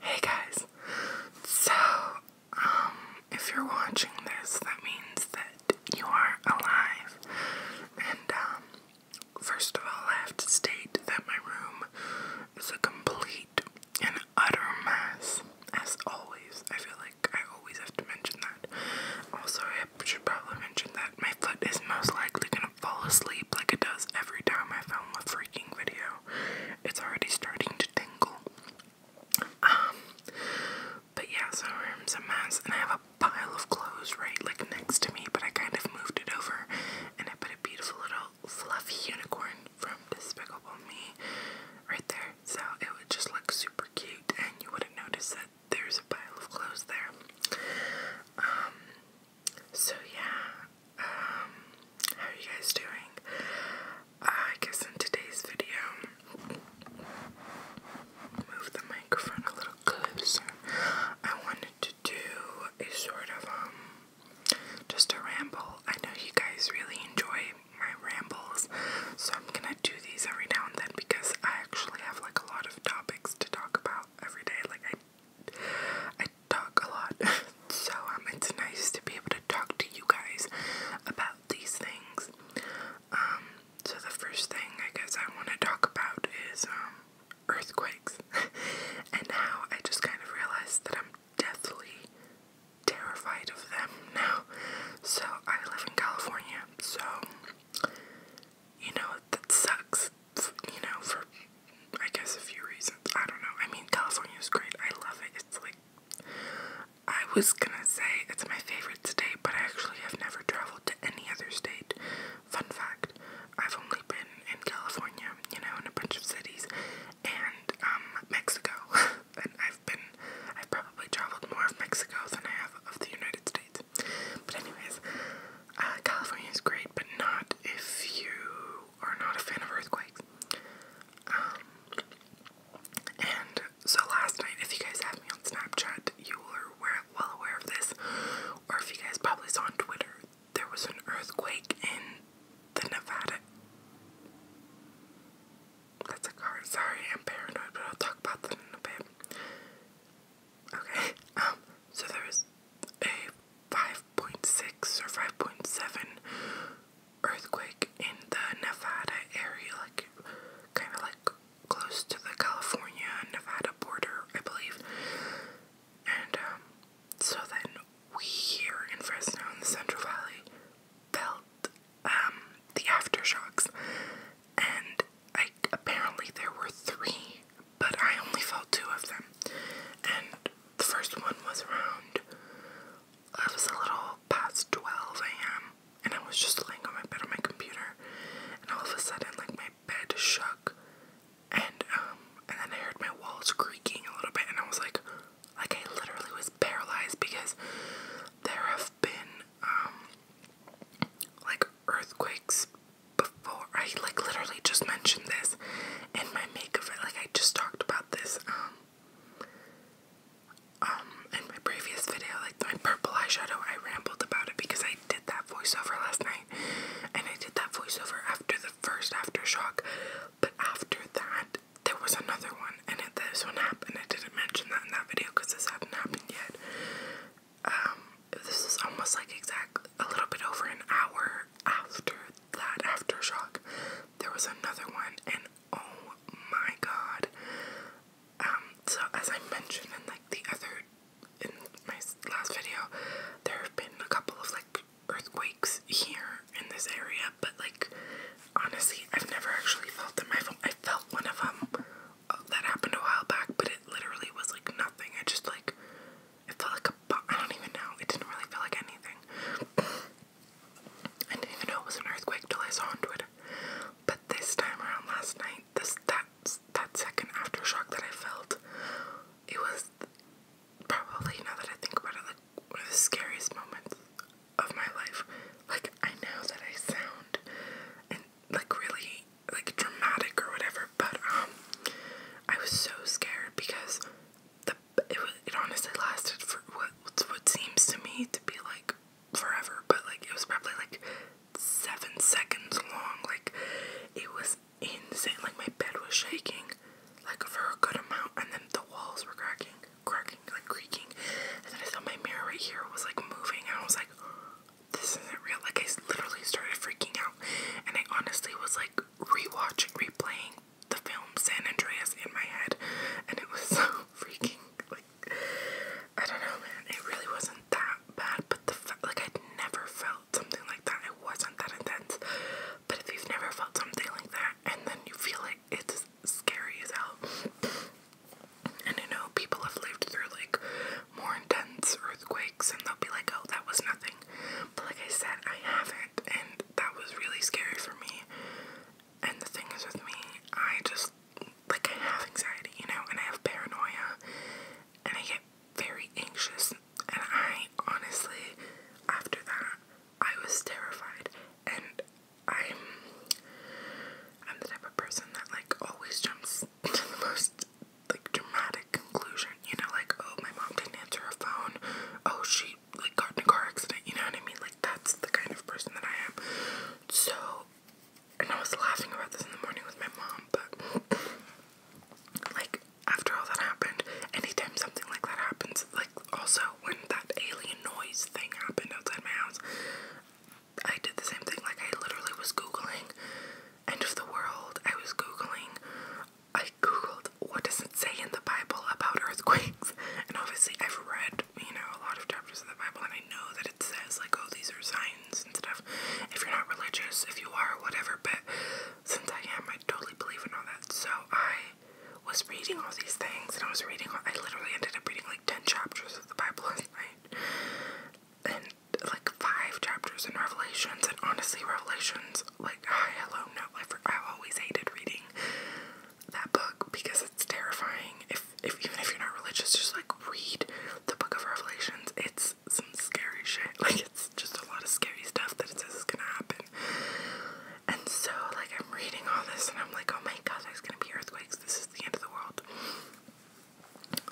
Hey guys, so um, if you're watching this, that means that you are alive. And um, first of all, I have to state that my room is a complete and utter mess, as always. I feel like I always have to mention that. Also, I should probably mention that my foot is most likely going fall asleep like it does every time I film a freaking video. It's already starting to tingle. Um, but yeah, so my room's a mess, and I have a pile of clothes right like next to me, but I kind of moved it over, and I put a beautiful little fluffy unicorn from Despicable Me right there, so it would just look super cute, and you wouldn't notice that there's a pile of clothes there. Um, so yeah, um, how are you guys doing? Uh, I guess in today's video, move the microphone a little closer. I wanted to do a sort of um, just a ramble. I know you guys really enjoy my rambles, so I'm gonna do these every now and then because I actually have like a lot of topics to talk about every day. Like I I talk a lot, so um, it's nice to be able to talk to you guys about these things. Um, so the first thing I guess I want to talk about is um, earthquakes, and how I just kind of realized that I'm deathly terrified of them now. So I live in California, so you know that sucks you know, for I guess a few reasons. I don't know. I mean, California is great. I love it. It's like I was gonna say it's my favorite state, but I actually have never traveled to any other state. Fun fact: I've only been in California, you know, in a bunch of cities, and um, Mexico. and I've been, I've probably traveled more of Mexico than I have of the United States. But anyways, uh, California is great, but not if you are not a fan of earthquakes. Um, and so last night, if you guys have me on Snapchat, you were aware, well aware of this, or if you guys probably saw on Twitter, there was an earthquake in the Nevada. That's a car. Sorry, I'm paranoid, but I'll talk about that in a bit. Okay. Um, so there was a 5.6 or 5.7 earthquake in the Nevada area, like kind of like close to the California Nevada border, I believe. And um, so then we here in Fresno in the Central Valley felt um, the aftershocks, and I apparently there were three but I only felt two of them. And the first one was around, it was a little past 12 a.m. And I was just laying on my bed on my computer, and all of a sudden, like my bed shook, and um, and then I heard my walls creaking a little bit, and I was like, like I literally was paralyzed because there have been um, like earthquakes before I like literally just mentioned this in my makeover. Like I just talked about this um um in my previous video, like my purple eyeshadow. I rambled about it because I did that voiceover last night, and I did that voiceover after the first aftershock. But after that, there was another one, and it, this one happened. I didn't mention that in that video because this has not happened yet. Um, this is almost like exact a little bit over an hour after that aftershock. There was another one, and oh my god. Um, so as I mentioned in like the other in my last video, there have been a couple of like earthquakes here in this area, but like honestly, I've never actually felt them. I've, I felt one of them that happened a while back, but it literally was like nothing. I just like it felt like a I don't even know. It didn't really feel like anything. I didn't even know it was an earthquake till I saw on Twitter. But this time around last night, this that that second aftershock that I felt, it was probably now that I think about it, like one of the scariest moments of my life. Like I know that I sound and like really like dramatic or whatever, but um I was so scared because the it, it honestly lasted for what what seems to me to be like forever, but like it was probably like 7 seconds long. Like it was insane. Like my bed was shaking like for a good amount and then the walls were cracking, cracking, like creaking. And then I saw my mirror right here was like moving and I was like this isn't real. Like, I literally started freaking out, and I honestly was like rewatching, replaying the film San Andreas in my head, and it was so freaking like I don't know, man. It really wasn't that bad, but the like I'd never felt something like that. It wasn't that intense, but if you've never felt something like that, and then you feel it, it's scary as hell. And you know people have lived through like more intense earthquakes and they'll be like, oh, that was nothing. But like I said, I haven't, and that was really scary for me. And the thing is with me, I just, like, I have anxiety, you know, and I have paranoia, and I get very anxious. And I honestly, after that, I was terrified. And I'm, I'm the type of person that, like, always jumps to the most like dramatic conclusion, you know, like, oh, my mom didn't answer her phone, oh, she like got in a car accident, you know what I mean? Like, that's the kind of person that I am. So, and I was laughing about this in the morning with my mom, but like, after all that happened, anytime something like that happens, like, also when that alien noise thing happened outside my house, I did the same thing. Like, I literally was Googling end of the world. I was Googling, I Googled what does it say in the Bible about earthquakes. And obviously, I've read, you know, a lot of chapters of the Bible, and I know that it says, like, oh, these are signs and stuff. If you're not religious, if you are, whatever, but since I am, I totally believe in all that. So, I was reading all these things, and I was reading, I literally ended up reading like 10 chapters of the Bible last night. And like five chapters in Revelations, and honestly, Revelations, like, hi, hello, no, I've, always hated reading that book because it's terrifying. If, if even if you're not religious, just like read the book of Revelations. It's some scary shit. Like, it's just a lot of scary stuff that it says is gonna happen. And so, like, I'm reading all this, and I'm like, oh my god, there's gonna be earthquakes. This is the end of the world.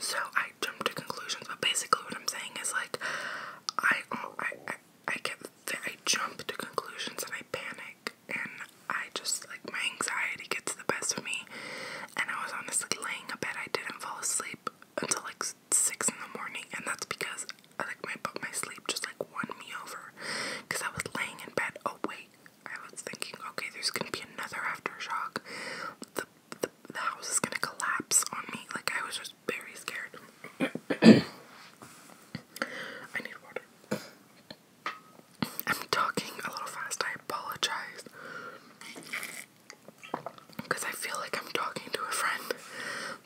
So I jump to conclusions, but basically what I'm saying is like I oh, I, I I get I jump to conclusions and I panic and I just like my anxiety gets the best of me. And I was honestly laying in bed. I didn't fall asleep until like six in the morning, and that's because I like my my sleep just like won me over because I was laying in bed awake oh, I was thinking, okay, there's gonna be another aftershock. The the, the house is gonna collapse on me. Like I was just very scared. I need water. I'm talking a little fast. I apologize. Because I feel like I'm talking to a friend.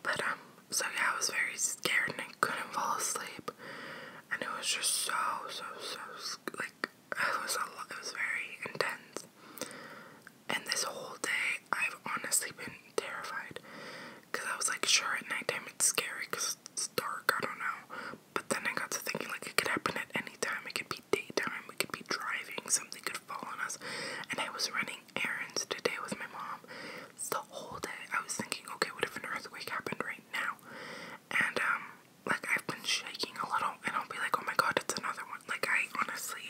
But, um, so yeah, I was very scared and I couldn't fall asleep. And it was just so, so, so, like, it was a lot, it was very intense. And this whole day, I've honestly been terrified. Because I was like, sure, at nighttime it's scary because it's dark, I don't know. But then I got to thinking, like, it could happen at any time. It could be daytime, it could be driving, something could fall on us. And I was running errands today with my mom. The whole day, I was thinking, okay, what if an earthquake happened right now? And, um, like I've been shaking a little and I'll be like, oh my god, it's another one. Like I honestly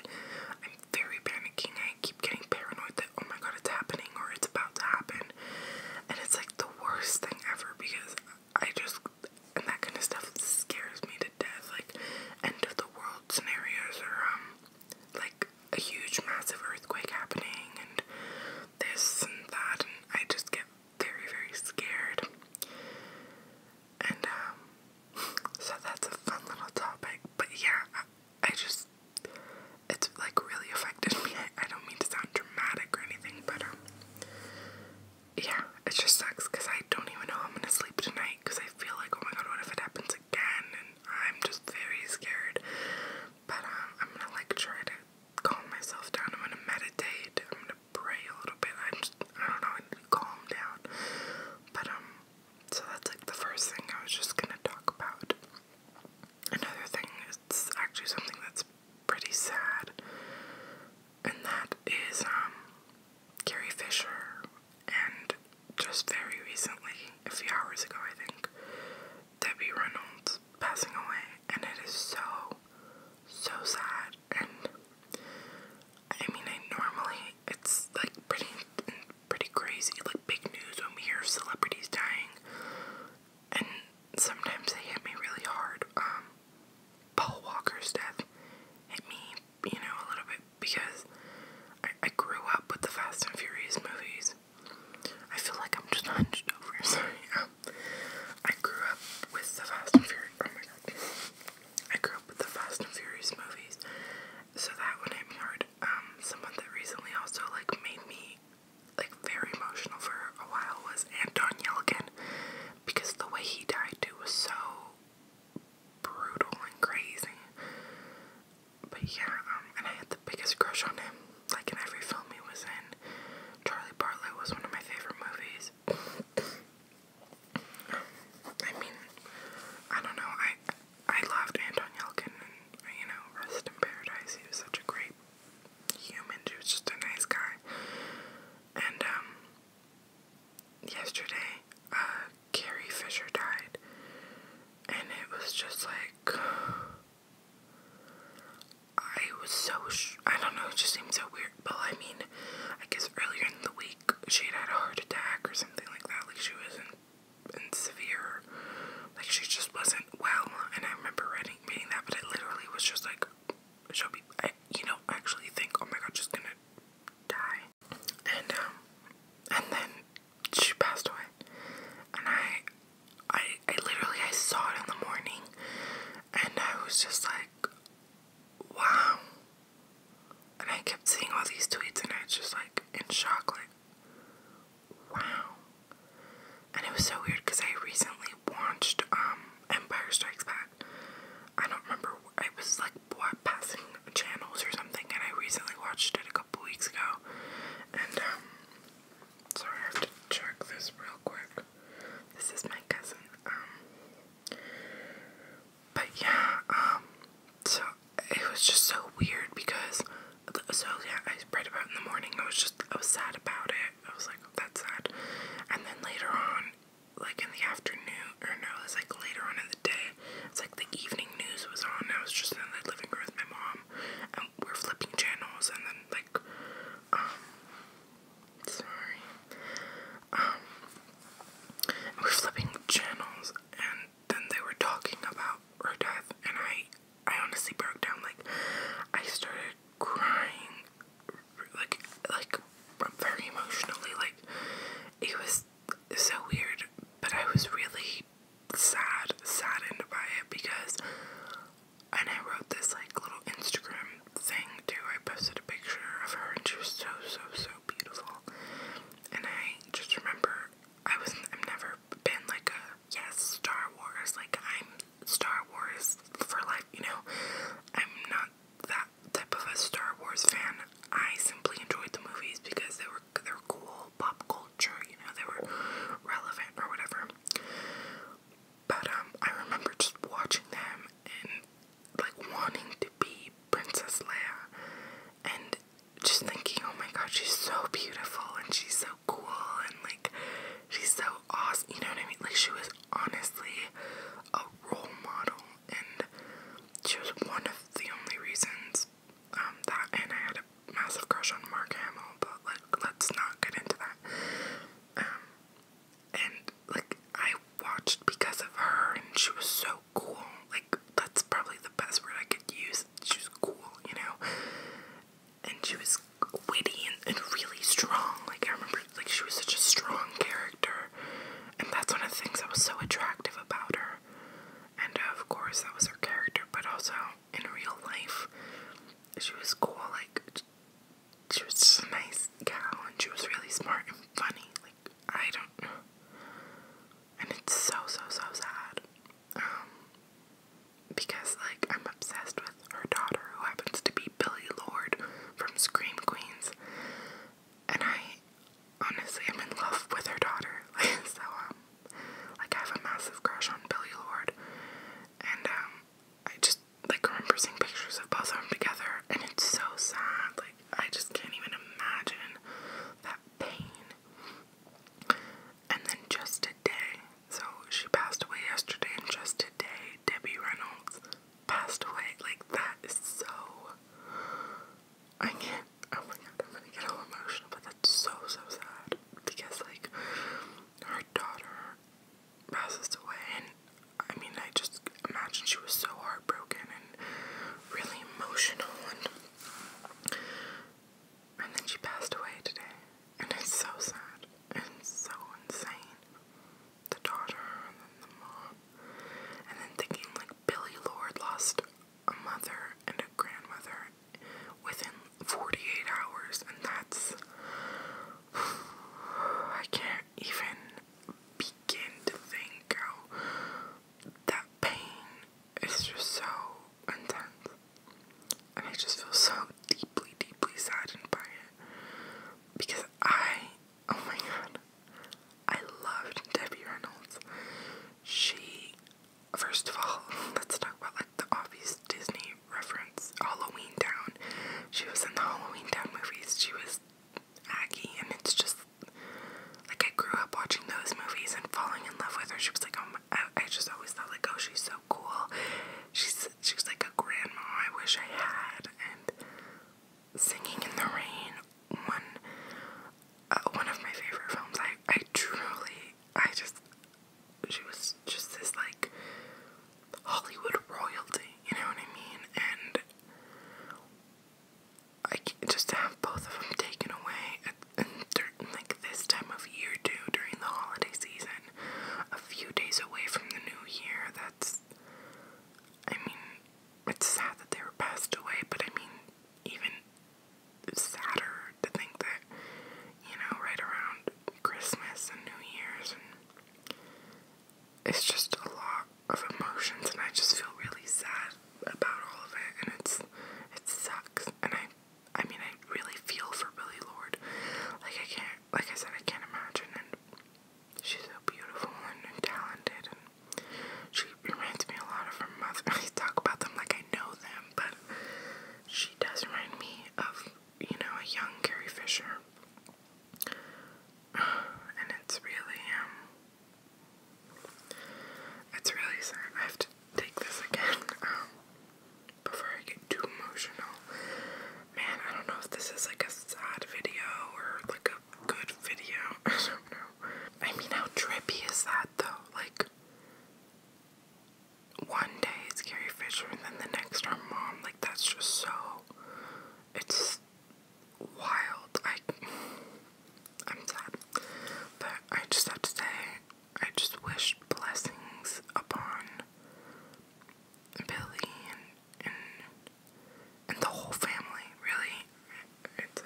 I'm very panicking. I keep getting paranoid that oh my god it's happening or it's about to happen. And it's like the worst thing ever because I just and that kind of stuff scares me to death. Like end of the world scenarios or um like a huge massive earthquake happening and this and that and I just get very, very scared. And, um, so that's a fun little topic. But yeah, I, just, it's like really affected me. I, don't mean to sound dramatic or anything, but, um, yeah, it just sucks because I don't even know I'm gonna sleep tonight because I feel like, oh my god, what if it happens again? And I'm just very scared. But, um, I'm gonna like try to calm myself down. I'm gonna meditate. I'm gonna pray a little bit. I'm just, I don't know, I need to calm down. But, um, so that's like the first thing I was just gonna talk about. Another thing, it's actually something that's pretty sad, and that is, um, Carrie Fisher, and just very recently, a few hours ago, I think, Debbie Reynolds passing away, and it is so, so sad. And I mean, I normally it's like pretty, pretty crazy, like big news when we hear celebrities dying, and sometimes they hit me really hard. Um, Paul Walker's death hit me, you know, a little bit because I, grew up with the Fast and Furious movies. I feel like I'm just hunched over. Sorry. Um, I grew up with the Fast and Furious. Oh I grew up with the Fast and Furious movies, so that one hit me hard. Um, someone that recently also like made me like very emotional for a while was Anton Yelkin, because the way he died too was so brutal and crazy. But yeah, um, and I had the biggest crush on him, like in every film he was in. Charlie Bartlett was one of my favorite movies. I mean, I don't know. I I loved Anton you know, Rest in Paradise. He was such a great human. He was just a nice guy. And um, yesterday, uh, Carrie Fisher died, and it was just like. I was so, I don't know, it just seemed so weird. But I mean, I guess earlier in the week she had had a heart attack or something like that. Like she was in, severe, like she just wasn't well. And I remember reading, reading that, but it literally was just like, she'll be, I, you know, actually think, oh my god, she's gonna die. And, um, and then she passed away. And I, I, I literally, I saw it in the morning. And I was just like, wow. And I kept seeing all these tweets, and I was just like in shock, like, wow. And it was so weird because I recently watched um, Empire Strikes Back. I don't remember. I was like passing channels or something, and I recently watched it a couple weeks ago. And um, so I have to check this real quick. This is my cousin. Um, but yeah, um, so it was just so weird because, so yeah, I read about in the morning. I was just, I was sad about it. I was like, that's sad. And then later on, like in the afternoon, or no, it like later on in the day. It's like the evening news was on. I was just in the living room with my mom we're flipping channels and then like um sorry um we're flipping channels and then they were talking about her death and I I honestly broke down like I started crying like like very emotionally like it was so weird but I was really sad saddened by it because and I wrote this like little Instagram thing too. I posted a picture of her and she was so so so beautiful. And I just remember I was I've never been like a yes Star Wars like I'm Star Wars for life, you know. I'm not that type of a Star Wars fan. I simply enjoyed the movies because they were they were cool pop culture, you know, they were relevant or whatever. But um, I remember just watching them and like wanting to be Princess Leia, and just thinking, oh my God, she's so beautiful and she's so cool and like she's so awesome. You know what I mean? Like she was honestly a role model, and she was one of the only reasons um, that and I had a massive crush on Mark Hamill, but like let's not get into that. Um, and like I watched because of her, and she was so cool. Like that's probably the best word I could use. She was cool, you know. And she was witty and, really strong. Like I remember, like she was such a strong character, and that's one of the things that was so attractive about her. And of course, that was her character, but also in real life, she was cool, like, she was just a nice gal, and she was really smart and funny, like, I don't know, and it's so, so, so sad, um, because, like, I'm obsessed with her daughter, who happens to be Billy Lord from Scream Queens, and I, honestly, am in love with her daughter, Like so, um, like I have a massive crush on Billy Lord, and um, I just like remember seeing pictures of both of them together, and it's so sad. Like I just can't even imagine that pain. And then just a day, so she passed away yesterday, and just today, Debbie Reynolds passed away. Like that is so. I can't. Oh my god, I'm gonna get all emotional, but that's so so sad because like her daughter passes away, and I mean, I just imagine she was so heartbroken and really emotional, and and then she passed away today, and it's so sad and so insane. The daughter and then the mom, and then thinking like Billy Lord lost a mother and a grandmother within 48 hours, and that's. I can't even begin to think how that pain is just so intense. And I just feel so deeply, deeply saddened by it. Because I, oh my god, I loved Debbie Reynolds. She first of all, let's talk about like the obvious Disney reference, Halloween Town. She was in the Halloween Town movies. She was Aggie, and it's just like I grew up watching those movies and falling in love with her. She was like, um, I, just always thought like, oh, she's so cool. She's she like a grandma I wish I had, and Singing in the Rain, one uh, one of my favorite films. I I truly I just she was just this like Hollywood royalty, you know what I mean? And I can't just have both of them taken away at, like this time of year too, during the holiday season, a few days away from the new year. That's, I mean, it's sad that they were passed away, but I mean, even sadder to think that, you know, right around Christmas and New Year's, and it's just a lot of emotions, and I just feel really sad about all of it, and it's it sucks, and I, I mean, I really feel for Billy Lord, like I can't, like I said, I can't imagine, and she's so beautiful and, and talented, and she reminds me a lot of her mother. I talk about them like I know them, but she does remind me of, you know, a young Carrie Fisher. And it's really, um, it's really sad. I have to take this again, um, before I get too emotional. Man, I don't know if this is like a sad video or like a good video. I don't know. I mean, how trippy is that though? Like, one day it's Carrie Fisher and then the next our mom. Like that's just so it's wild. I I'm sad. But I just have to say I just wish blessings upon Billy and and the whole family, really. It's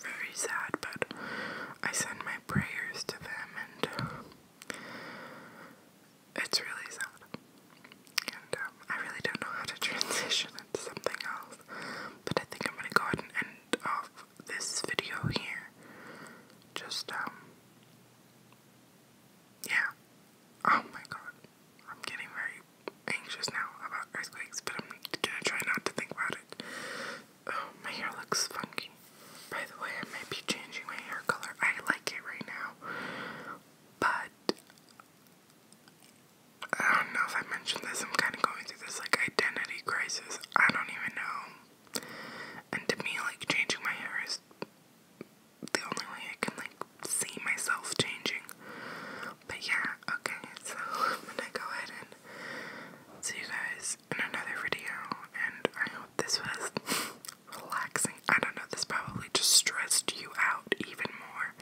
very sad, but I send my prayers to them, and it's really sad. And um, I really don't know how to transition into something else, but I think I'm gonna go ahead and end off this video here. Just, um, yeah. Oh my god, I'm getting very anxious now about earthquakes, but I'm gonna try not to think about it. Oh, my hair looks funky. By the way, I might be changing my hair color. I like it right now. But I don't know if I mentioned this. I'm kind of going through this like identity crisis. I don't even know. And to me, like changing my hair is the only way I can like see myself changing. But yeah, okay. So i go ahead and see you guys in another video, and I hope this was relaxing. I don't know, this probably just stressed you out even more,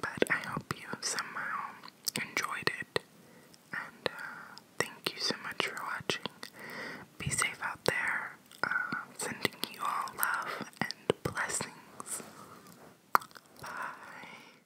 but I hope you somehow enjoyed it. And uh, thank you so much for watching. Be safe out there. Uh, sending you all love and blessings. Bye.